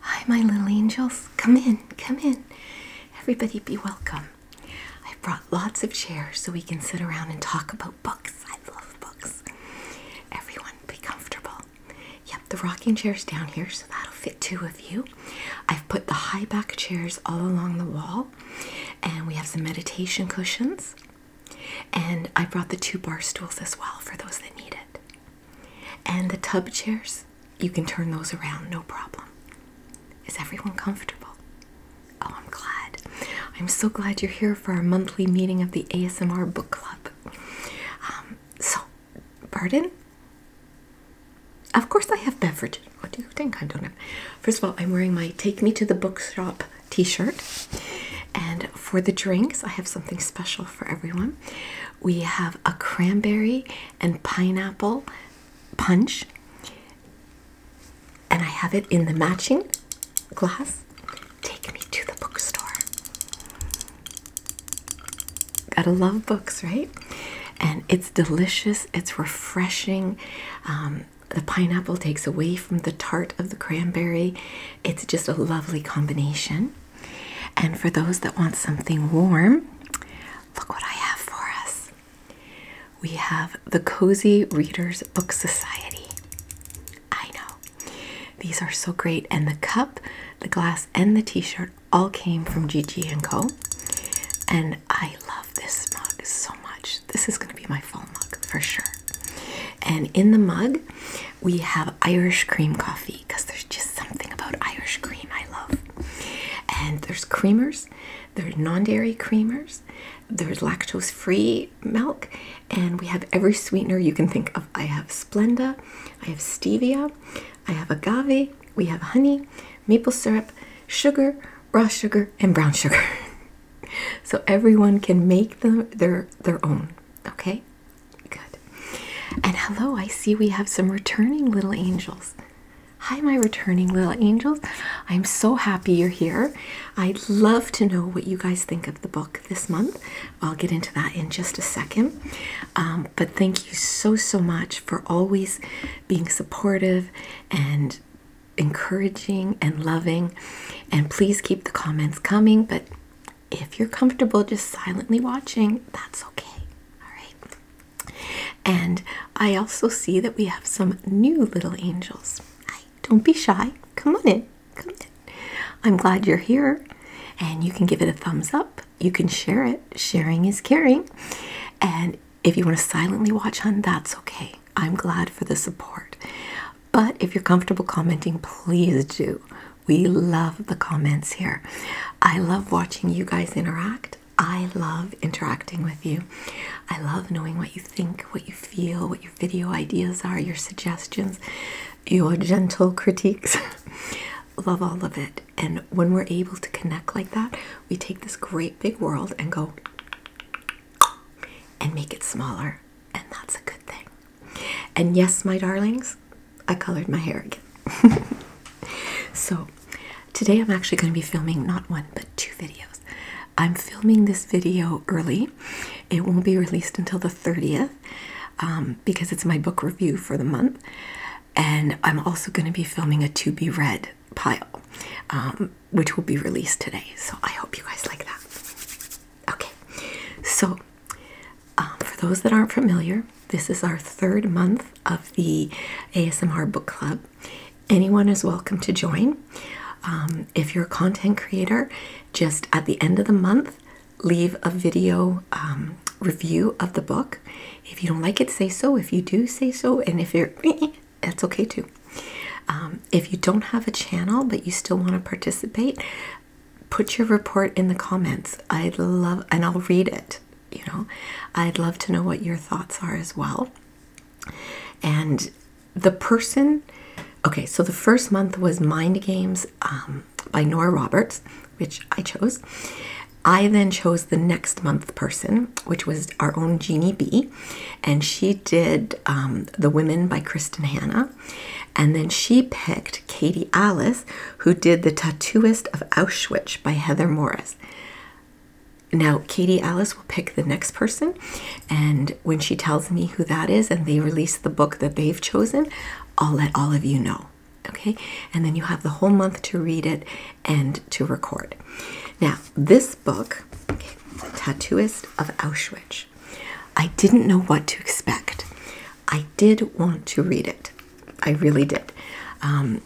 Hi, my little angels. Come in, come in. Everybody be welcome. I brought lots of chairs so we can sit around and talk about books. I love books. Everyone be comfortable. Yep, the rocking chair's down here, so that'll fit two of you. I've put the high back chairs all along the wall, and we have some meditation cushions. And I brought the two bar stools as well for those that need it. And the tub chairs, you can turn those around, no problem. Is everyone comfortable? Oh, I'm glad. I'm so glad you're here for our monthly meeting of the ASMR Book Club. Um, so, pardon? Of course, I have beverages. What do you think I don't First of all, I'm wearing my Take Me to the Bookshop t shirt. And for the drinks, I have something special for everyone we have a cranberry and pineapple punch, and I have it in the matching glass. Take me to the bookstore. Gotta love books, right? And it's delicious, it's refreshing. Um, the pineapple takes away from the tart of the cranberry. It's just a lovely combination. And for those that want something warm, look what I have for us. We have the Cozy Readers Book Society. I know. These are so great. And the cup, the glass, and the t-shirt all came from Gigi & Co. And I love this mug so much. This is going to be my fall mug for sure. And in the mug, we have Irish cream coffee because there's just something about Irish cream I love. And there's creamers, there's non dairy creamers, there's lactose free milk, and we have every sweetener you can think of. I have Splenda, I have stevia, I have agave, we have honey, maple syrup, sugar, raw sugar, and brown sugar. so everyone can make them their their own, okay? Good. And hello, I see we have some returning little angels. Hi, my returning little angels. I'm so happy you're here. I'd love to know what you guys think of the book this month. I'll get into that in just a second. Um, but thank you so, so much for always being supportive and encouraging and loving. And please keep the comments coming, but if you're comfortable just silently watching, that's okay. All right. And I also see that we have some new little angels. Hi, don't be shy. Come on in. Come in. I'm glad you're here. And you can give it a thumbs up. You can share it. Sharing is caring. And if you want to silently watch hun, that's okay. I'm glad for the support. But if you're comfortable commenting, please do. We love the comments here. I love watching you guys interact. I love interacting with you. I love knowing what you think, what you feel, what your video ideas are, your suggestions, your gentle critiques. love all of it. And when we're able to connect like that, we take this great big world and go and make it smaller. And that's a good thing. And yes, my darlings, I colored my hair again. so, today I'm actually going to be filming not one but two videos. I'm filming this video early. It won't be released until the 30th um, because it's my book review for the month. And I'm also going to be filming a to be read pile, um, which will be released today. So I hope you guys like that. Okay, so um, for those that aren't familiar, this is our third month of the ASMR Book Club. Anyone is welcome to join. Um, if you're a content creator, just at the end of the month, leave a video um, review of the book. If you don't like it, say so. If you do, say so. And if you're, that's okay too. if you don't have a channel but you still want to participate, put your report in the comments. I'd love, and I'll read it. You know, I'd love to know what your thoughts are as well. And the person, okay, so the first month was Mind Games um, by Nora Roberts, which I chose. I then chose the next month person, which was our own Jeannie B, and she did um, The Women by Kristen Hannah, And then she picked Katie Alice who did The Tattooist of Auschwitz by Heather Morris. Now, Katie Alice will pick the next person, and when she tells me who that is and they release the book that they've chosen, I'll let all of you know. Okay, and then you have the whole month to read it and to record. Now, this book, okay, Tattooist of Auschwitz, I didn't know what to expect. I did want to read it. I really did. Um,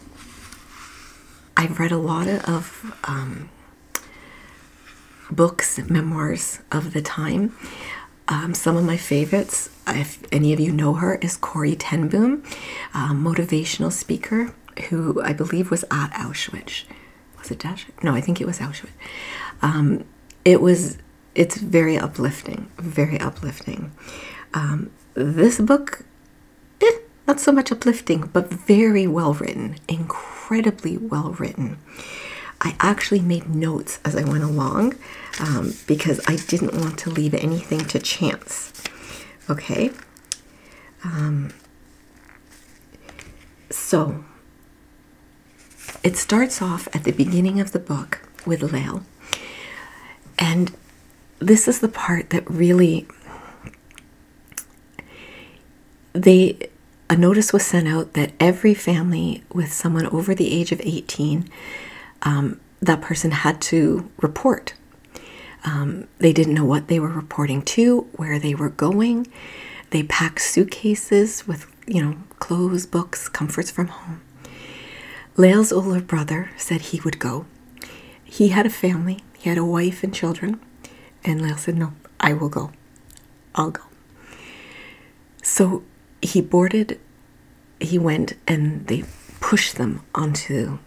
I've read a lot of um, books, memoirs of the time. Um, some of my favorites, if any of you know her, is Corey Tenboom, uh, motivational speaker who I believe was at Auschwitz. Was it Auschwitz? No, I think it was Auschwitz. it was. It's very uplifting. Very uplifting this book, eh, not so much uplifting, but very well written, incredibly well written. I actually made notes as I went along um, because I didn't want to leave anything to chance. Okay. Um, so it starts off at the beginning of the book with Lael, and this is the part that really they a notice was sent out that every family with someone over the age of 18 um, that person had to report um, they didn't know what they were reporting to where they were going they packed suitcases with you know clothes books comforts from home home. older brother said he would go. He had a family, he had a wife and children, and Lael said, No, I will go. I'll go. So he boarded, he went, and they pushed them onto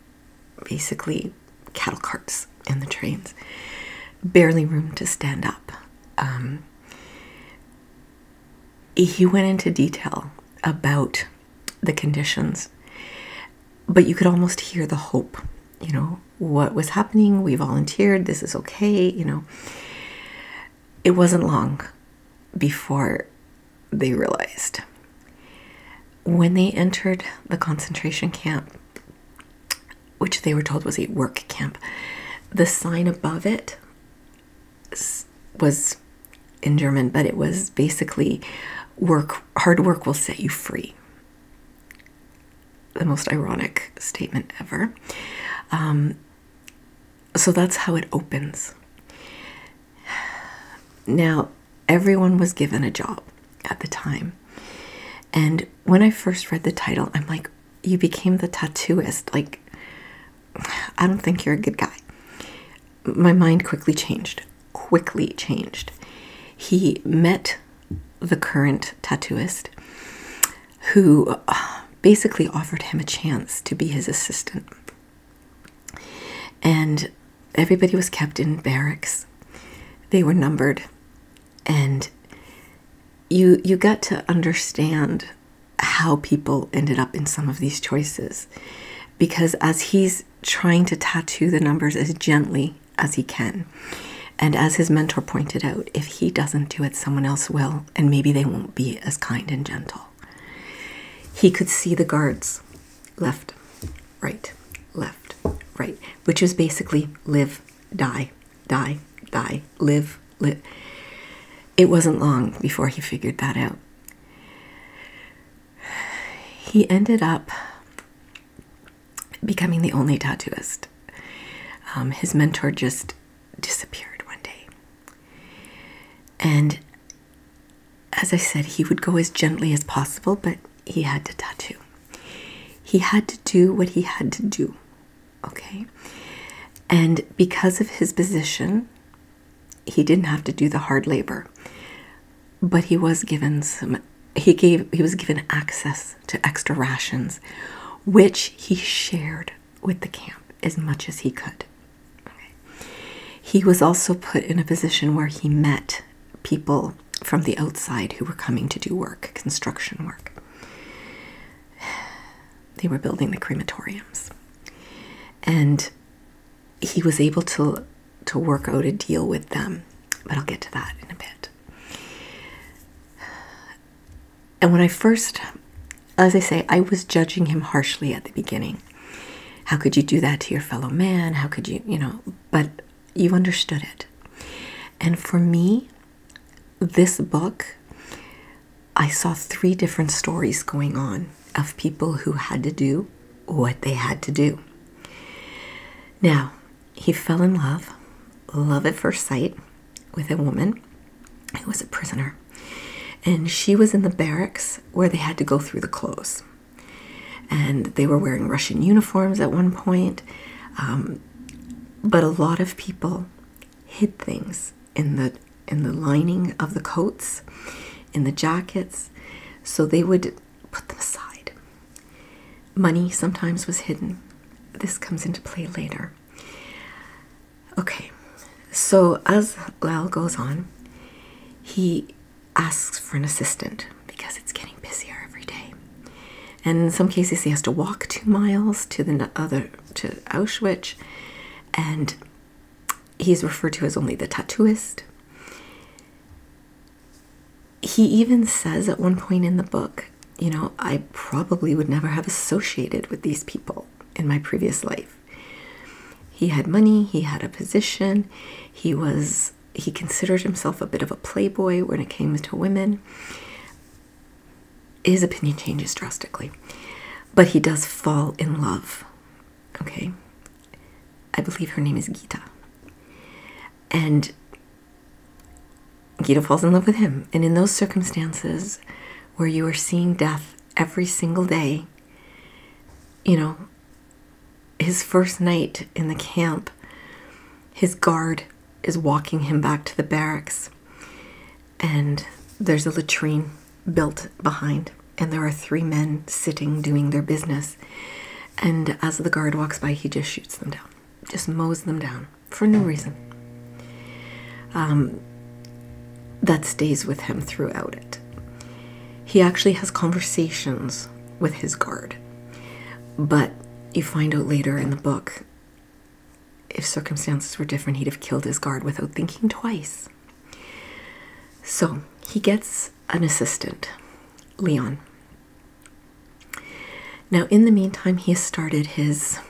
basically cattle carts and the trains. Barely room to stand up. Um, he went into detail about the conditions. But you could almost hear the hope, you know, what was happening. We volunteered, this is okay, you know. It wasn't long before they realized. When they entered the concentration camp, which they were told was a work camp, the sign above it was in German, but it was basically work, hard work will set you free. The most ironic statement ever. Um, so that's how it opens. Now, everyone was given a job at the time. And when I first read the title, I'm like, you became the tattooist. Like, I don't think you're a good guy. My mind quickly changed. Quickly changed. He met the current tattooist who uh, basically offered him a chance to be his assistant. And everybody was kept in barracks. They were numbered and you you got to understand how people ended up in some of these choices because as he's trying to tattoo the numbers as gently as he can, and as his mentor pointed out, if he doesn't do it, someone else will, and maybe they won't be as kind and gentle. He could see the guards left, right, left, right, which is basically live, die, die, die, live, live. It wasn't long before he figured that out he ended up becoming the only tattooist. Um, his mentor just disappeared one day. And as I said, he would go as gently as possible, but he had to tattoo. He had to do what he had to do, okay? And because of his position, he didn't have to do the hard labor, but he was given some. He gave. He was given access to extra rations, which he shared with the camp as much as he could. He was also put in a position where he met people from the outside who were coming to do work, construction work. They were building the crematoriums. And he was able to to work out a deal with them, but I'll get to that in a bit. And when I first, as I say, I was judging him harshly at the beginning. How could you do that to your fellow man? How could you, you know, but you understood it. And for me, this book, I saw three different stories going on of people who had to do what they had to do. Now, he fell in love, love at first sight, with a woman who was a prisoner. And she was in the barracks where they had to go through the clothes. And they were wearing Russian uniforms at one point. Um, but a lot of people hid things in the in the lining of the coats in the jackets, so they would put them aside. Money sometimes was hidden. This comes into play later. Okay, so as Lal goes on, he asks for an assistant because it's getting busier every day. And in some cases, he has to walk two miles to the other to Auschwitz, and he is referred to as only the tattooist. He even says at one point in the book, you know, I probably would never have associated with these people in my previous life. He had money, he had a position, he was he considered himself a bit of a playboy when it came to women. His opinion changes drastically, but he does fall in love okay i believe her name is gita and gita falls in love with him and in those circumstances where you are seeing death every single day you know his first night in the camp his guard is walking him back to the barracks and there's a latrine built behind and there are three men sitting doing their business. And as the guard walks by, he just shoots them down, just mows them down for no reason. Um, that stays with him throughout it. He actually has conversations with his guard, but you find out later in the book if circumstances were different, he'd have killed his guard without thinking twice. So he gets an assistant, Leon. Now, in the meantime, he has started his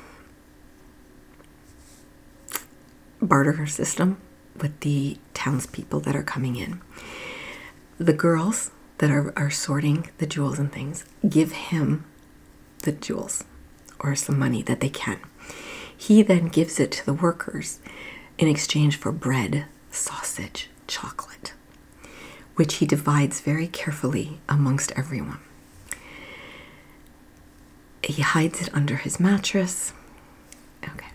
barter system with the townspeople that are coming in. The girls that are, are sorting the jewels and things give him the jewels or some money that they can. He then gives it to the workers in exchange for bread sausage chocolate, which he divides very carefully amongst everyone. He hides it under his mattress. Okay.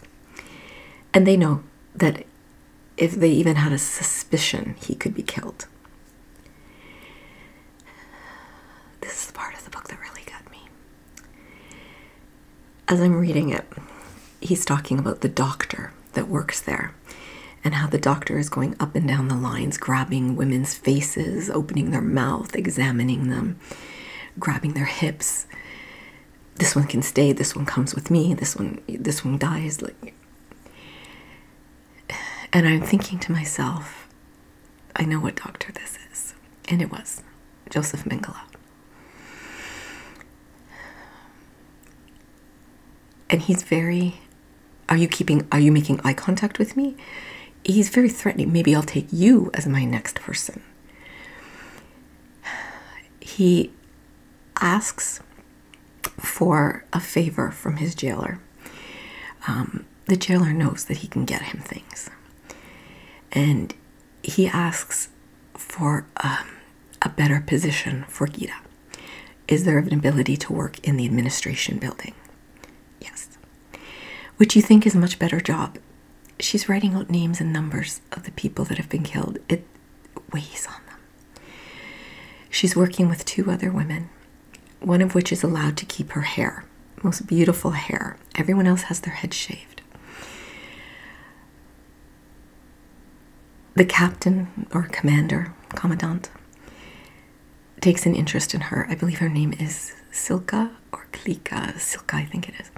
And they know that if they even had a suspicion, he could be killed. This is the part of the book that really got me as I'm reading it, he's talking about the doctor that works there and how the doctor is going up and down the lines, grabbing women's faces, opening their mouth, examining them, grabbing their hips. This one can stay, this one comes with me, this one this one dies like and I'm thinking to myself, I know what doctor this is. And it was Joseph Mengele. And he's very, are you keeping, are you making eye contact with me? He's very threatening. Maybe I'll take you as my next person. He asks for a favor from his jailer. Um, the jailer knows that he can get him things. And he asks for um, a better position for Gita. Is there an ability to work in the administration building? Yes. Which you think is a much better job. She's writing out names and numbers of the people that have been killed. It weighs on them. She's working with two other women, one of which is allowed to keep her hair, most beautiful hair. Everyone else has their head shaved. The captain or commander, commandant, takes an interest in her. I believe her name is Silka or Klika. Silka, I think it is.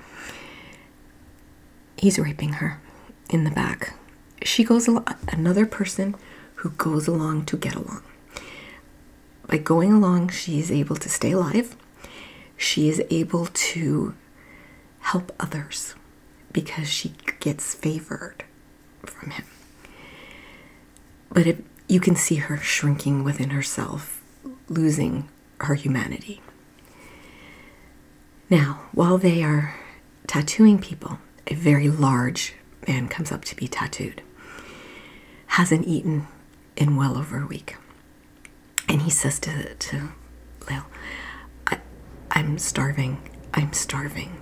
He's raping her in the back. She goes along, another person who goes along to get along. By going along, she is able to stay alive. She is able to help others because she gets favored from him. But it, you can see her shrinking within herself, losing her humanity. Now, while they are tattooing people, a very large man comes up to be tattooed. Hasn't eaten in well over a week and he says to to Leo, "I'm starving. I'm starving."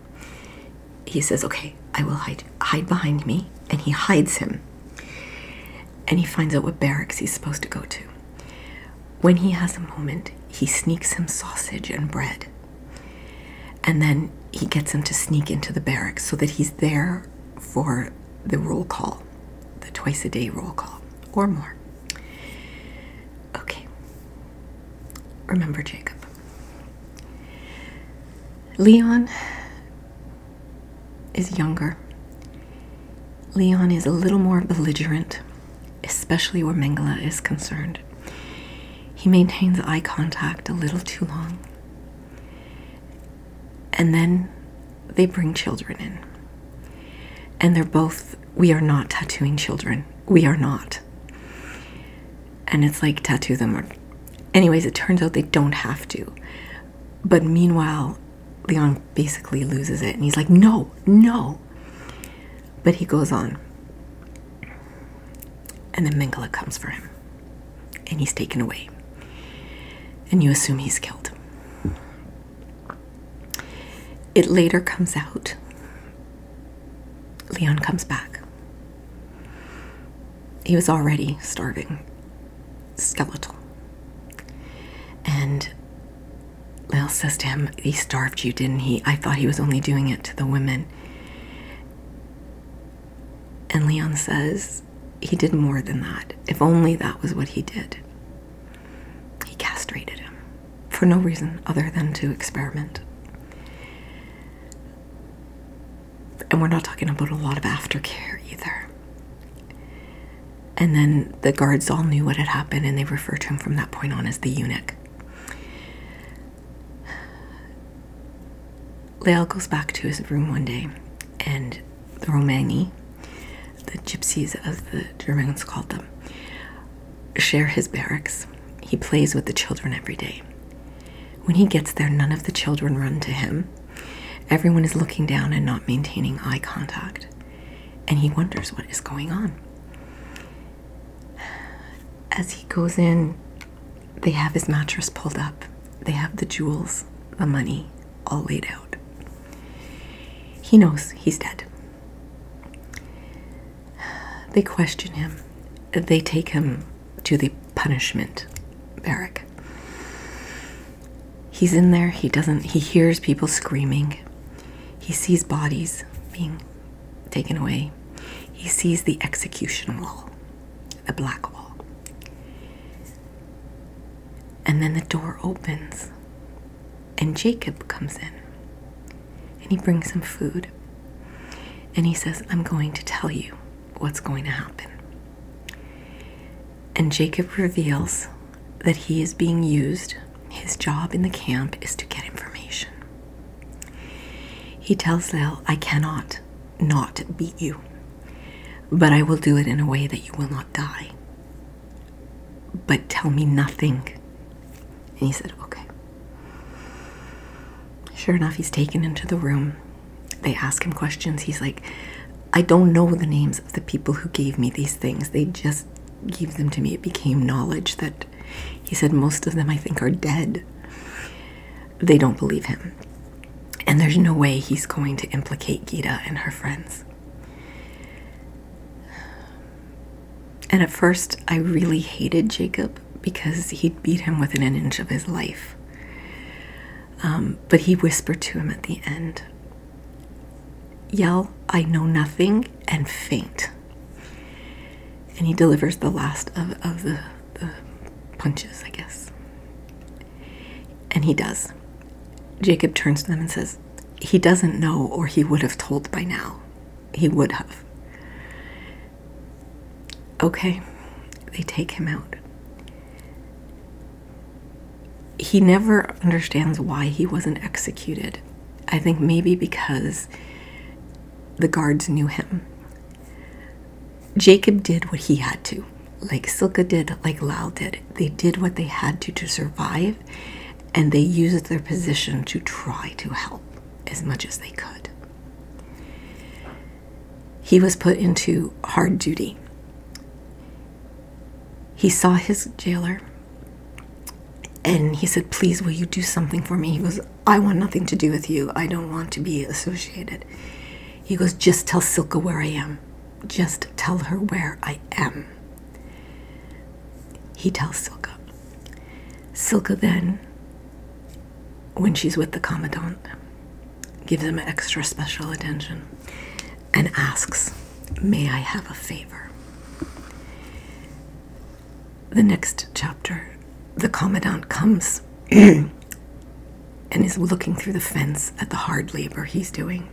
He says, "Okay, I will hide hide behind me," and he hides him. And he finds out what barracks he's supposed to go to. When he has a moment, he sneaks him sausage and bread. And then he gets him to sneak into the barracks so that he's there for the roll call, the twice a day roll call or more. Okay. Remember Jacob. Leon is younger. Leon is a little more belligerent, especially where Mengele is concerned. He maintains eye contact a little too long. And then they bring children in. And they're both we are not tattooing children. We are not. And it's like, tattoo them. Or... Anyways, it turns out they don't have to. But meanwhile, Leon basically loses it and he's like, no, no. But he goes on. And then Mengele comes for him and he's taken away. And you assume he's killed. It later comes out. Leon comes back. He was already starving, skeletal. And Lil says to him, He starved you, didn't he? I thought he was only doing it to the women. And Leon says, He did more than that. If only that was what he did. He castrated him for no reason other than to experiment. And we're not talking about a lot of aftercare either. And then the guards all knew what had happened and they referred to him from that point on as the eunuch. Leal goes back to his room one day and the Romani the gypsies, as the Germans called them, share his barracks. He plays with the children every day. When he gets there, none of the children run to him. Everyone is looking down and not maintaining eye contact. And he wonders what is going on. As he goes in, they have his mattress pulled up, they have the jewels, the money all laid out. He knows he's dead. They question him. They take him to the punishment barrack. He's in there. He doesn't. He hears people screaming. He sees bodies being taken away. He sees the execution wall, the black wall. And then the door opens, and Jacob comes in and he brings some food. And he says, I'm going to tell you what's going to happen. And Jacob reveals that he is being used. His job in the camp is to get information. He tells Lel, I cannot not beat you, but I will do it in a way that you will not die but tell me nothing. And he said, Okay. Sure enough, he's taken into the room. They ask him questions. He's like, I don't know the names of the people who gave me these things. They just gave them to me. It became knowledge that he said, Most of them I think are dead. They don't believe him. And there's no way he's going to implicate Geeta and her friends. And at first, I really hated Jacob because he'd beat him within an inch of his life. Um, but he whispered to him at the end, Yell, I know nothing, and faint. And he delivers the last of, of the, the punches, I guess. And he does. Jacob turns to them and says, He doesn't know, or he would have told by now he would have. Okay, they take him out. He never understands why he wasn't executed. I think maybe because the guards knew him. Jacob did what he had to, like Silka did, like Lal did. They did what they had to to survive and they used their position to try to help as much as they could. He was put into hard duty. He saw his jailer and he said, Please, will you do something for me? He goes, I want nothing to do with you. I don't want to be associated. He goes, Just tell Silka where I am. Just tell her where I am. He tells Silka. Silka then, when she's with the Commandant, gives him extra special attention and asks, May I have a favor? The next chapter, the Commandant comes and is looking through the fence at the hard labor he's doing,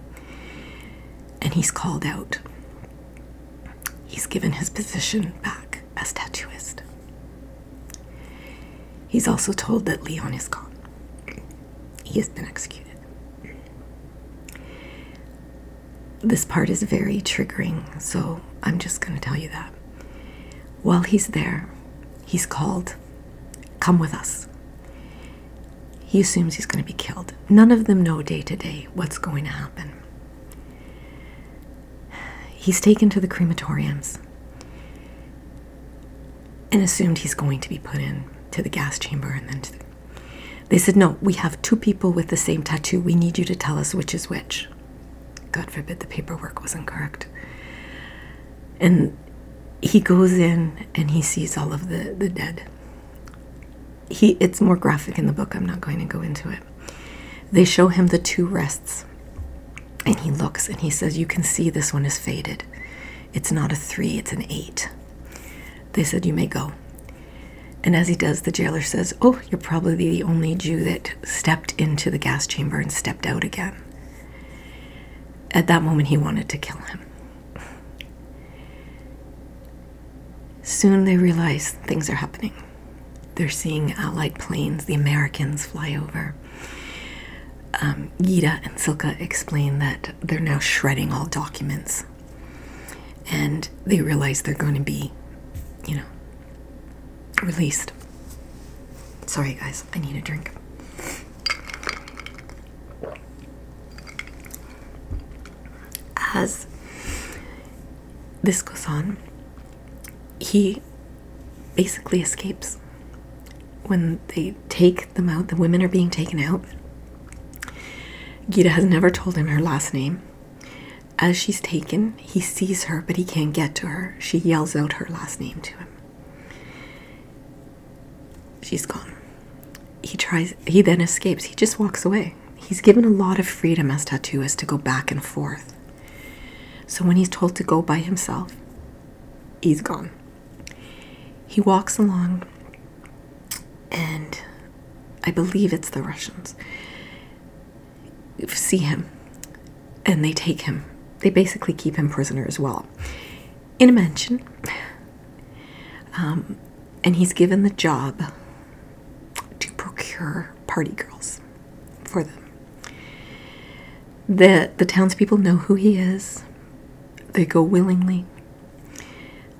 and he's called out He's given his position back as tattooist. He's also told that Leon is gone. He has been executed. This part is very triggering, so I'm just going to tell you that. While he's there, he's called, Come with us. He assumes he's going to be killed. None of them know day to day what's going to happen. He's taken to the crematoriums and assumed he's going to be put in to the gas chamber and then they said, No, we have two people with the same tattoo. We need you to tell us which is which. God forbid the paperwork was incorrect. And he goes in and he sees all of the, the dead he it's more graphic in the book i'm not going to go into it they show him the two rests and he looks and he says you can see this one is faded it's not a three it's an eight they said you may go and as he does the jailer says oh you're probably the only jew that stepped into the gas chamber and stepped out again at that moment he wanted to kill him Soon they realize things are happening. They're seeing Allied planes, the Americans fly over. Gita um, and Silka explain that they're now shredding all documents and they realize they're going to be, you know, released. Sorry, guys, I need a drink. As this goes on. He basically escapes. When they take them out, the women are being taken out. Gita has never told him her last name. As she's taken, he sees her, but he can't get to her. She yells out her last name to him. She's gone. He tries, he then escapes. He just walks away he's given a lot of freedom as tattooist to go back and forth. So when he's told to go by himself, he's gone. He walks along, and I believe it's the Russians see him and they take him. They basically keep him prisoner as well in a mansion. Um, and he's given the job to procure party girls for them. The, the townspeople know who he is, they go willingly,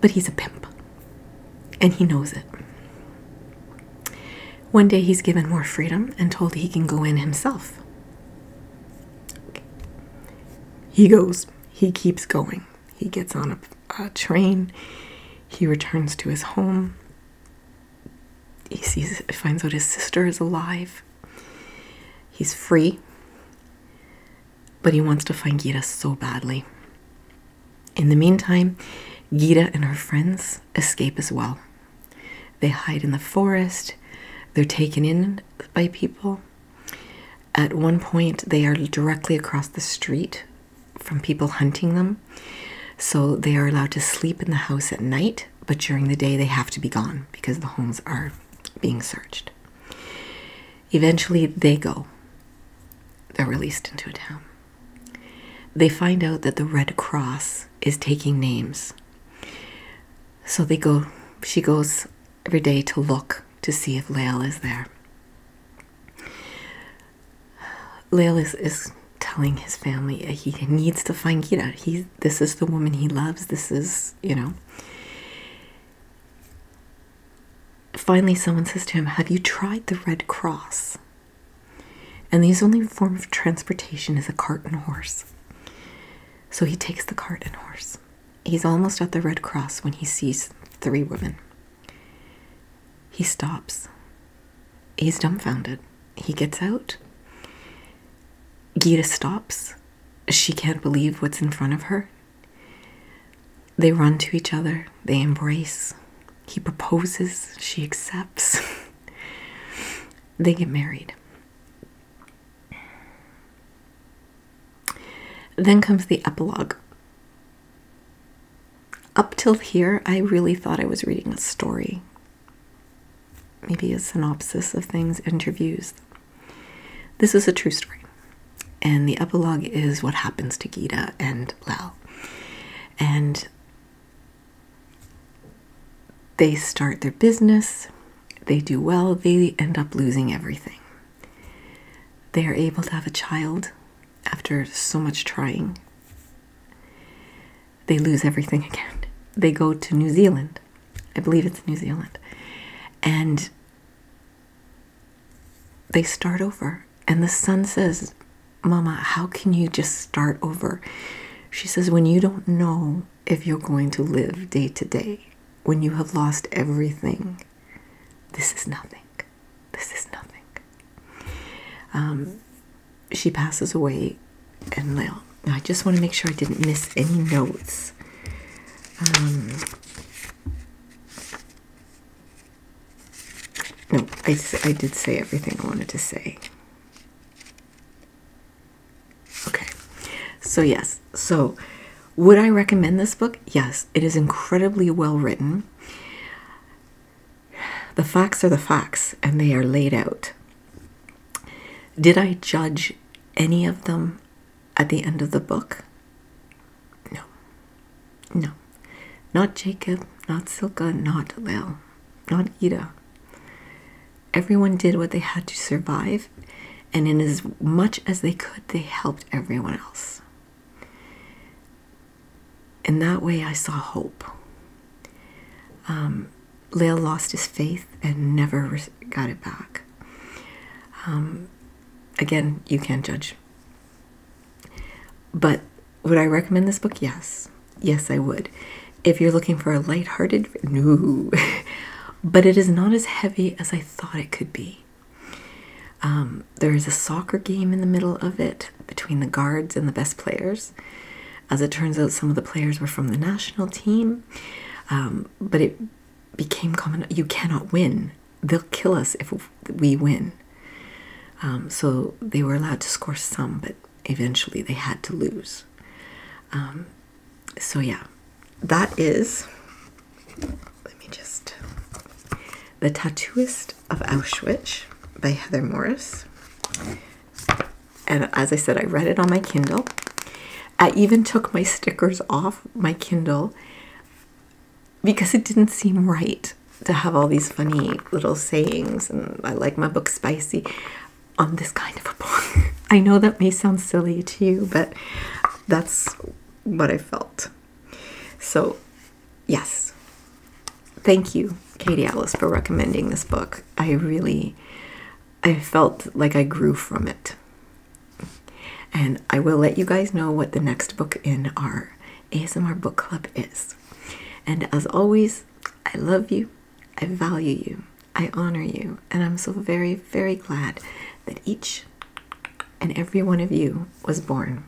but he's a pimp and he knows it. One day he's given more freedom and told he can go in himself. He goes, he keeps going. He gets on a uh, train. He returns to his home. He sees, finds out his sister is alive. He's free, but he wants to find Gita so badly. In the meantime, Gita and her friends escape as well. They hide in the forest, they're taken in by people. At one point, they are directly across the street from people hunting them. So they are allowed to sleep in the house at night, but during the day they have to be gone because the homes are being searched. Eventually they go. They're released into a town. They find out that the Red Cross is taking names. So they go, she goes every day to look to see if Lael is there. Lale is, is telling his family he needs to find Gita. He, this is the woman he loves. This is, you know. Finally, someone says to him, Have you tried the Red Cross? And the only form of transportation is a cart and horse. So he takes the cart and horse. He's almost at the Red Cross when he sees three women. He stops he's dumbfounded. He gets out. Gita stops. She can't believe what's in front of her. They run to each other, they embrace. He proposes, she accepts. they get married. Then comes the epilogue. Up till here, I really thought I was reading a story, maybe a synopsis of things, interviews. This is a true story, and the epilogue is what happens to Gita and Lal. And they start their business, they do well, they end up losing everything. They are able to have a child after so much trying, they lose everything again. They go to New Zealand. I believe it's New Zealand. And they start over. And the son says, Mama, how can you just start over? She says, When you don't know if you're going to live day to day, when you have lost everything, this is nothing. This is nothing. Um, she passes away, and now I just want to make sure I didn't miss any notes. Um, no, I, I did say everything I wanted to say. Okay, so yes, so would I recommend this book? Yes, it is incredibly well written. The facts are the facts and they are laid out. Did I judge any of them at the end of the book? No. No. Not Jacob, not Silka, not Lil, not Ida. Everyone did what they had to survive, and in as much as they could, they helped everyone else. And that way I saw hope. Um, lost his faith and never got it back. Um, again, you can't judge. But would I recommend this book? Yes. Yes, I would. If you're looking for a lighthearted, no. but it is not as heavy as I thought it could be. Um, there is a soccer game in the middle of it between the guards and the best players. As it turns out, some of the players were from the national team, um, but it became common you cannot win. They'll kill us if we win. Um, so they were allowed to score some, but eventually they had to lose. Um, so, yeah, that is. Let me just. The tattooist of Auschwitz by Heather Morris. And as I said, I read it on my Kindle. I even took my stickers off my Kindle because it didn't seem right to have all these funny little sayings. And I like my book spicy on this kind of a book. I know that may sound silly to you, but that's what I felt. So yes. Thank you, Katie Alice, for recommending this book. I really, I felt like I grew from it. And I will let you guys know what the next book in our ASMR book club is. And as always, I love you, I value you, I honor you, and I'm so very, very glad that each and every one of you was born.